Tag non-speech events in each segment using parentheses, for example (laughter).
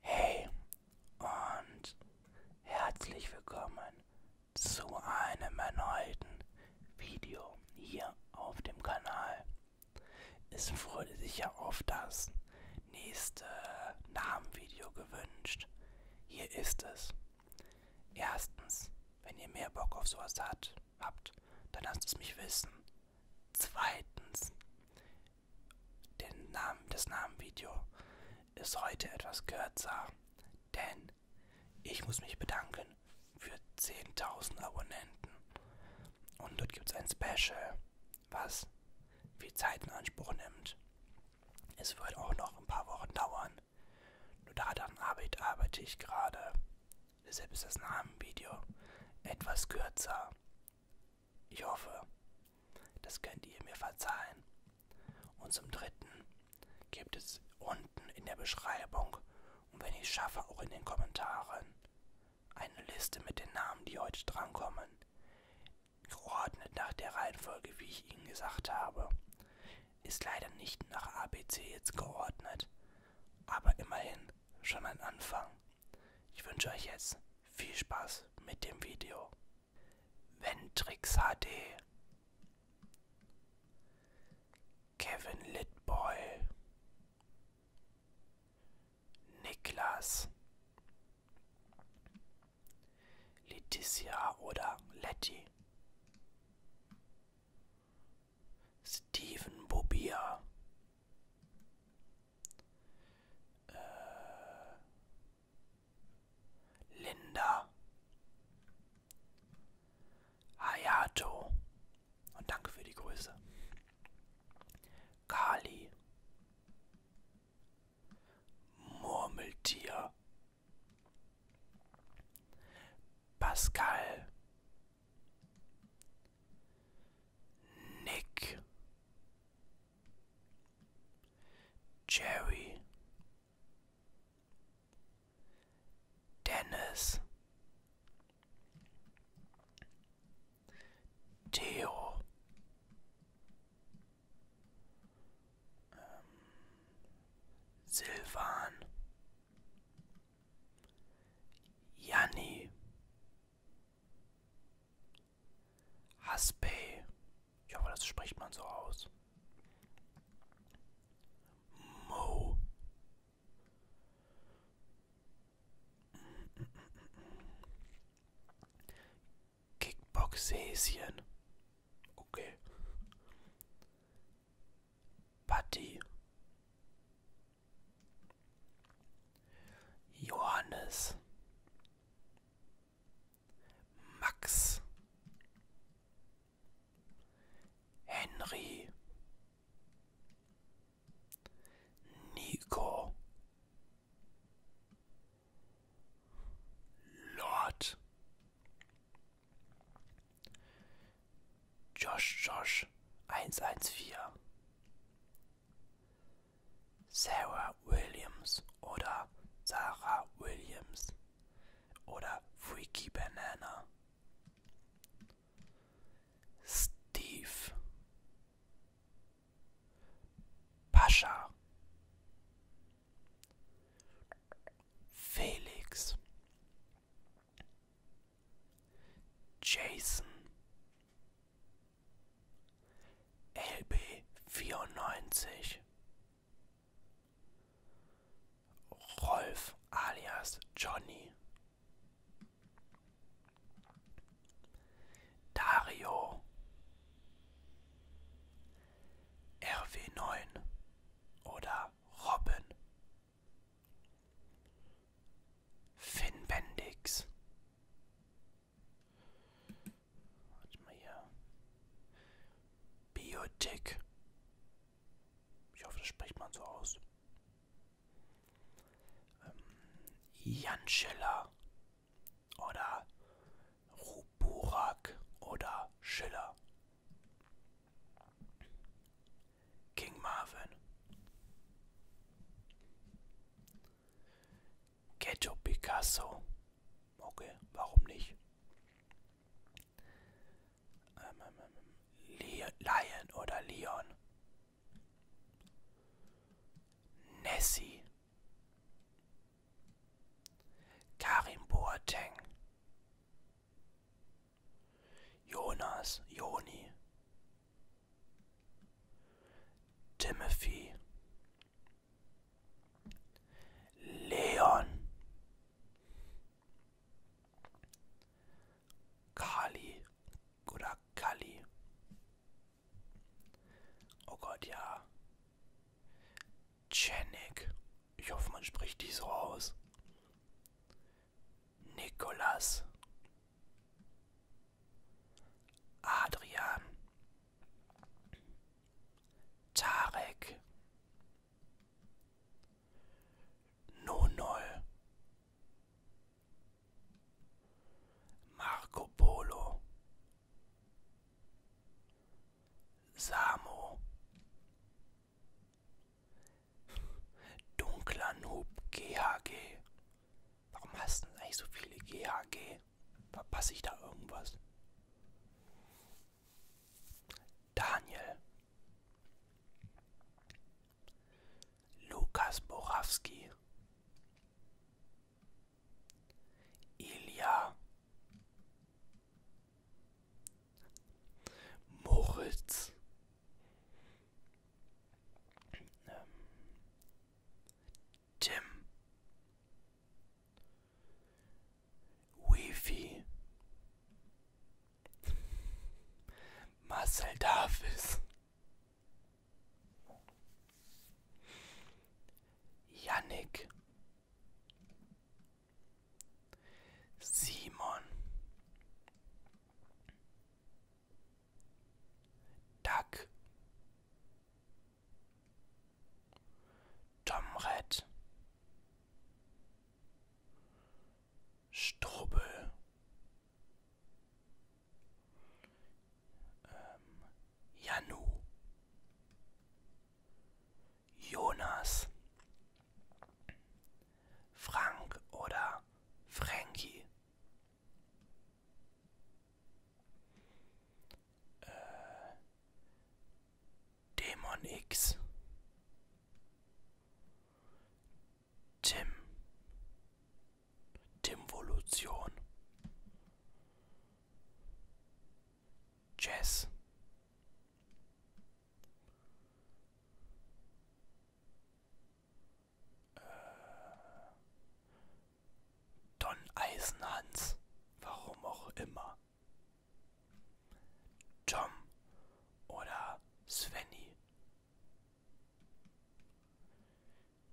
Hey und herzlich willkommen zu einem erneuten Video hier auf dem Kanal. Es wurde sich ja oft das nächste Namenvideo gewünscht. Hier ist es. Erstens, wenn ihr mehr Bock auf sowas hat, habt, dann lasst es mich wissen. Zweitens, den Namen, das Namenvideo ist heute etwas kürzer, denn ich muss mich bedanken für 10.000 Abonnenten. Und dort gibt es ein Special, was viel Zeit in Anspruch nimmt. Es wird auch noch ein paar Wochen dauern. Nur daran arbeite, arbeite ich gerade. Deshalb ist das Namenvideo etwas kürzer. Ich hoffe, das könnt ihr mir verzeihen. Und zum Dritten gibt es unten in der Beschreibung und wenn ich schaffe auch in den Kommentaren eine Liste mit den Namen, die heute drankommen, geordnet nach der Reihenfolge, wie ich Ihnen gesagt habe. Ist leider nicht nach ABC jetzt geordnet, aber immerhin schon ein Anfang. Ich wünsche euch jetzt viel Spaß mit dem Video. Ventrix HD Kevin Litboy Niklas Leticia oder Letty Steven Bobier äh, Linda. Hayato. Und danke für die Grüße. Kali. Murmeltier. Pascal. Nick. Jerry Dennis Theo um, Silvan Haspel. Ich hoffe, das spricht man so aus. Mo. Kickboxhäschen. Okay. Patty. Johannes, Max, Henry, Nico, Lord, Josh Josh eins eins vier Sarah Williams oder Sarah Williams oder Freaky Banana. Steve Pascha Felix Jason LB vierundneunzig Rolf alias Johnny Dario RW9 oder Robin Finn Bendix Warte mal hier. Biotech. Ich hoffe, das spricht man so aus. Ähm, Jan Schiller oder Burak oder Schiller. King Marvin. Ghetto Picasso. Okay, warum nicht? Ähm, ähm, ähm Le Lion oder Leon. Nessie. Karim Boateng. Jonas, Joni, Timothy, Leon, Kali oder Kali. Oh Gott, ja. Chenik. Ich hoffe, man spricht die so aus. Nikolas. Adrian, Tarek, Nonol, Marco Polo, Samo, Dunkler Noob GHG, Warum hast du denn eigentlich so viele GHG? Verpasse ich da irgendwas? Daniel. Lukas Borowski. Ilja. Moritz. Ähm, Tim. Wifi. Marcel Davis. Yannick. Simon Duck Tomret Strubel ähm, Janu Jonas Frank oder Frankie äh, Dämon X. Tim. Timvolution. Jazz. Äh, Don Eisenhans, warum auch immer. Tom oder Svenny.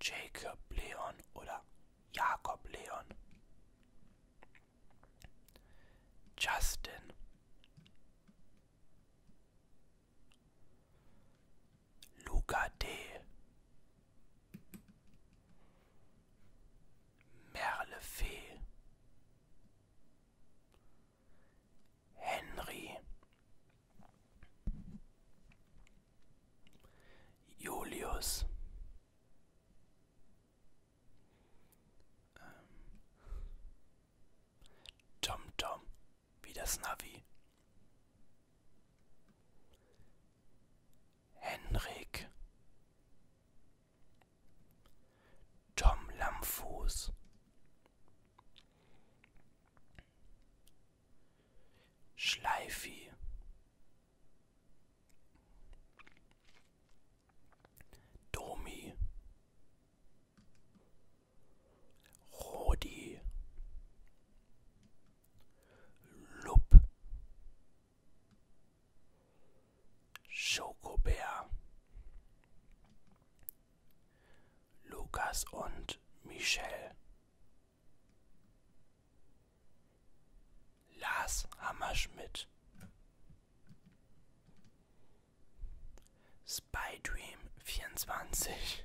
Jacob Leon oder Jakob Leon. Justin. Luca D. Merle Fee. Henry. Julius. Ähm, Tom Tom wie das Navi. Henrik Tom Lampfuß Schleifi Domi Rodi, Lupp, Schokobär, Lukas und Michelle, Lars Hammerschmidt, Spydream 24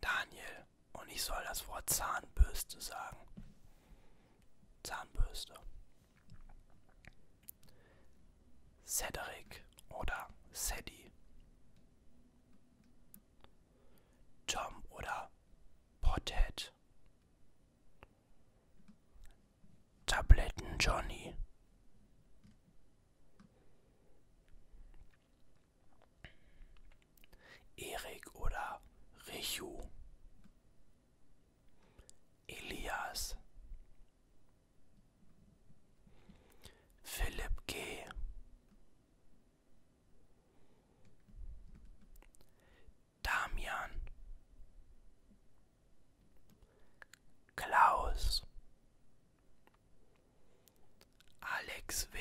Daniel, und ich soll das Wort Zahnbürste sagen. Zahnbürste. Cedric oder Sadie. Tom oder Pothead. Tabletten Johnny. Erik oder Richu. Elias. Philipp G. Damian. Klaus Alex W.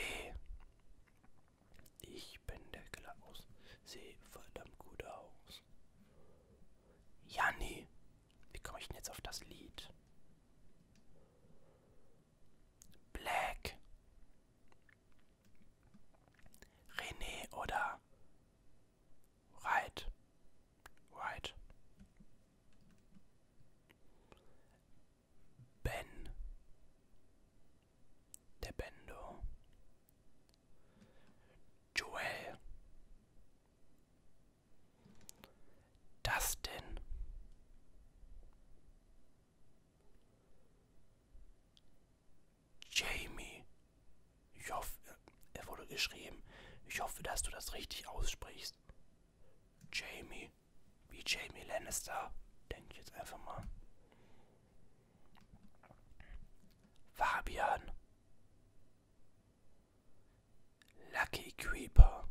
Ich bin der Klaus. Sehe verdammt gut aus. Janni. Wie komme ich denn jetzt auf das Lied? Black. René oder Right. Right. Ben. Dependo. Joel. Dustin. Jamie. Ich hoffe, er wurde geschrieben. Ich hoffe, dass du das richtig aussprichst. Jamie. Wie Jamie Lannister, denke ich jetzt einfach mal. Fabian. Lucky Creeper.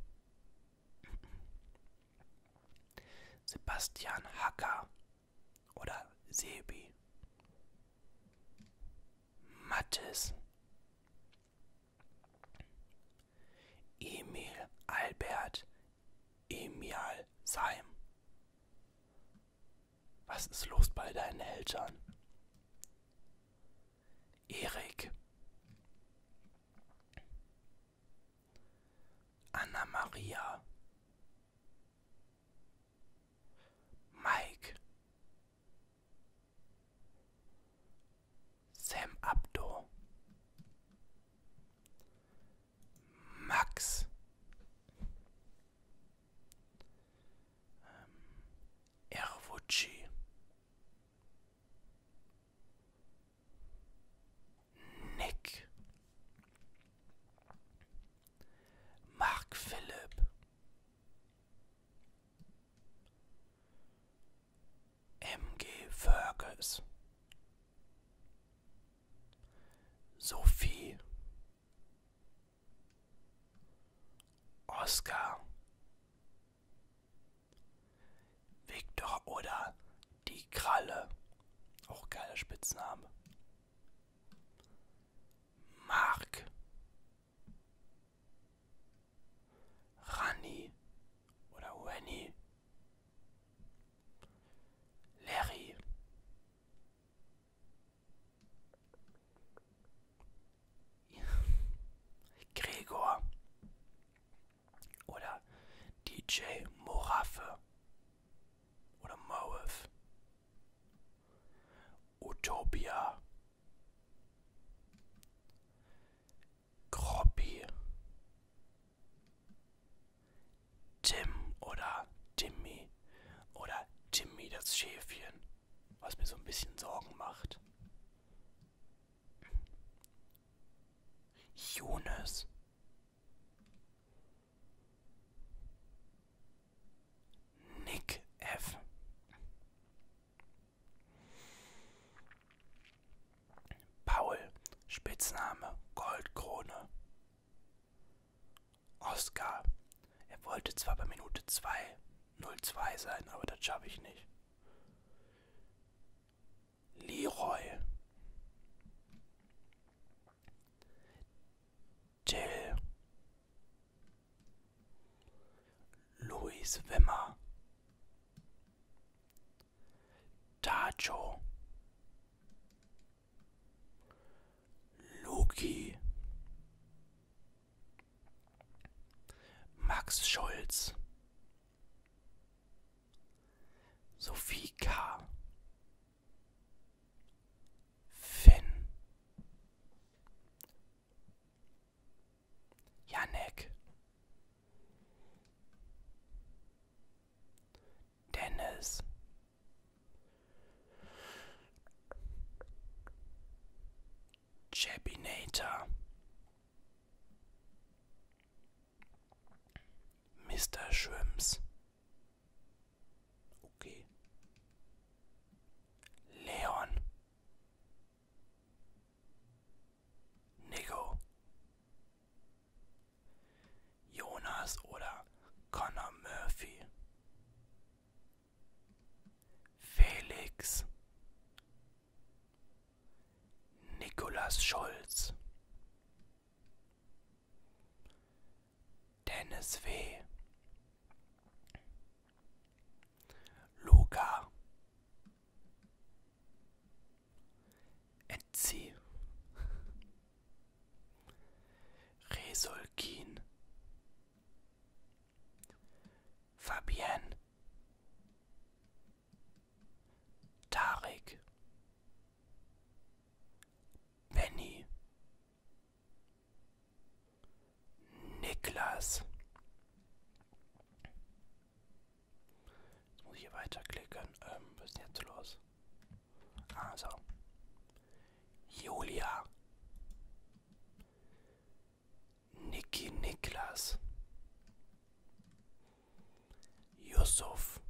Sebastian Hacker oder Sebi. Mattes, Emil Albert Emial Seim. Was ist los bei deinen Eltern? Erik. Anna Maria. Mike. Sam Abdo. Max. Ähm, Ervucci. Nick. Mark Philipp. MG Fergus Sophie Oscar Victor oder die Kralle. Auch geiler Spitzname. Mark Rani oder Wenny, Larry, (laughs) Gregor oder DJ Moraffe oder Moev Utopia. Kroppi. Tim oder Timmy oder Timmy das Schäfchen, was mir so ein bisschen Sorgen macht. Jonas. Nick F. Paul, Spitzname Goldkrone. Oscar, er wollte zwar bei Minute 2 02 sein, aber das schaffe ich nicht. Leroy. Jill, Louis Wimmer, Tacho, Loki, Max Scholz, Sophie K., Finn. Janek. Dennis. Jabinator. Mr. Shrimps. Okay. Leon. Nico. Jonas oder Connor Murphy. Felix. Nicolas Scholz. Dennis W. Luca Etzi Resolkin Fabienne Tarek Benny Niklas. Jetzt muss ich hier weiterklicken. Ähm, was ist denn jetzt los? Also. Julia. Niki Niklas. Yusuf.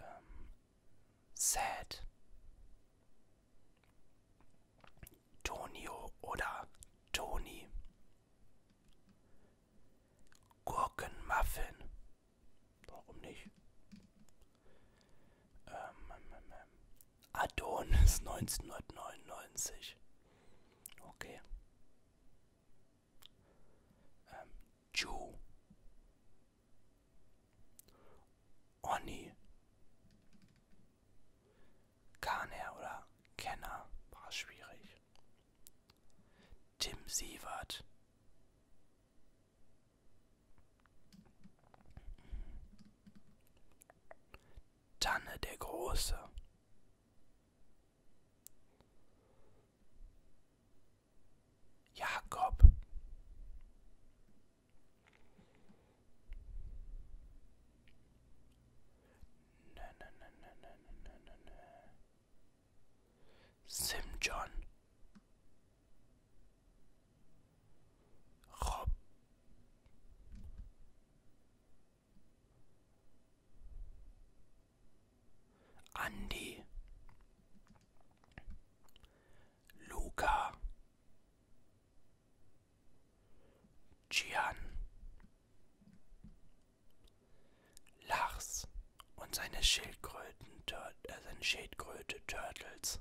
Ähm, Sad. Tonio oder Toni. Gurkenmuffin. Warum nicht? Ähm, ähm, ähm. ähm. Adonis (laughs) 1999. Okay. Ähm, Jew. Onni. Kaner oder Kenner war schwierig. Tim Sievert. Tanne der Große. Jakob. Nö, nö, nö, nö, nö, nö, nö. Simjon. Rob. Andi. Luca Gian Lars und seine Schildkröten äh, seine Schildkröte Turtles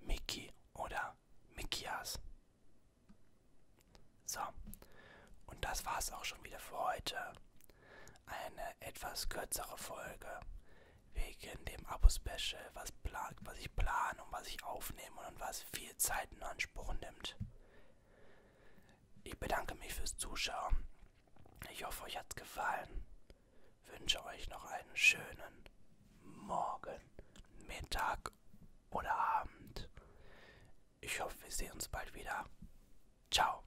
Mickey oder Mickias. So, und das war's auch schon wieder für heute eine etwas kürzere Folge wegen dem Abo-Special, was, plagt, was ich plane und was ich aufnehme und was viel Zeit in Anspruch nimmt. Ich bedanke mich fürs Zuschauen. Ich hoffe, euch hat's gefallen. Wünsche euch noch einen schönen Morgen, Mittag oder Abend. Ich hoffe, wir sehen uns bald wieder. Ciao.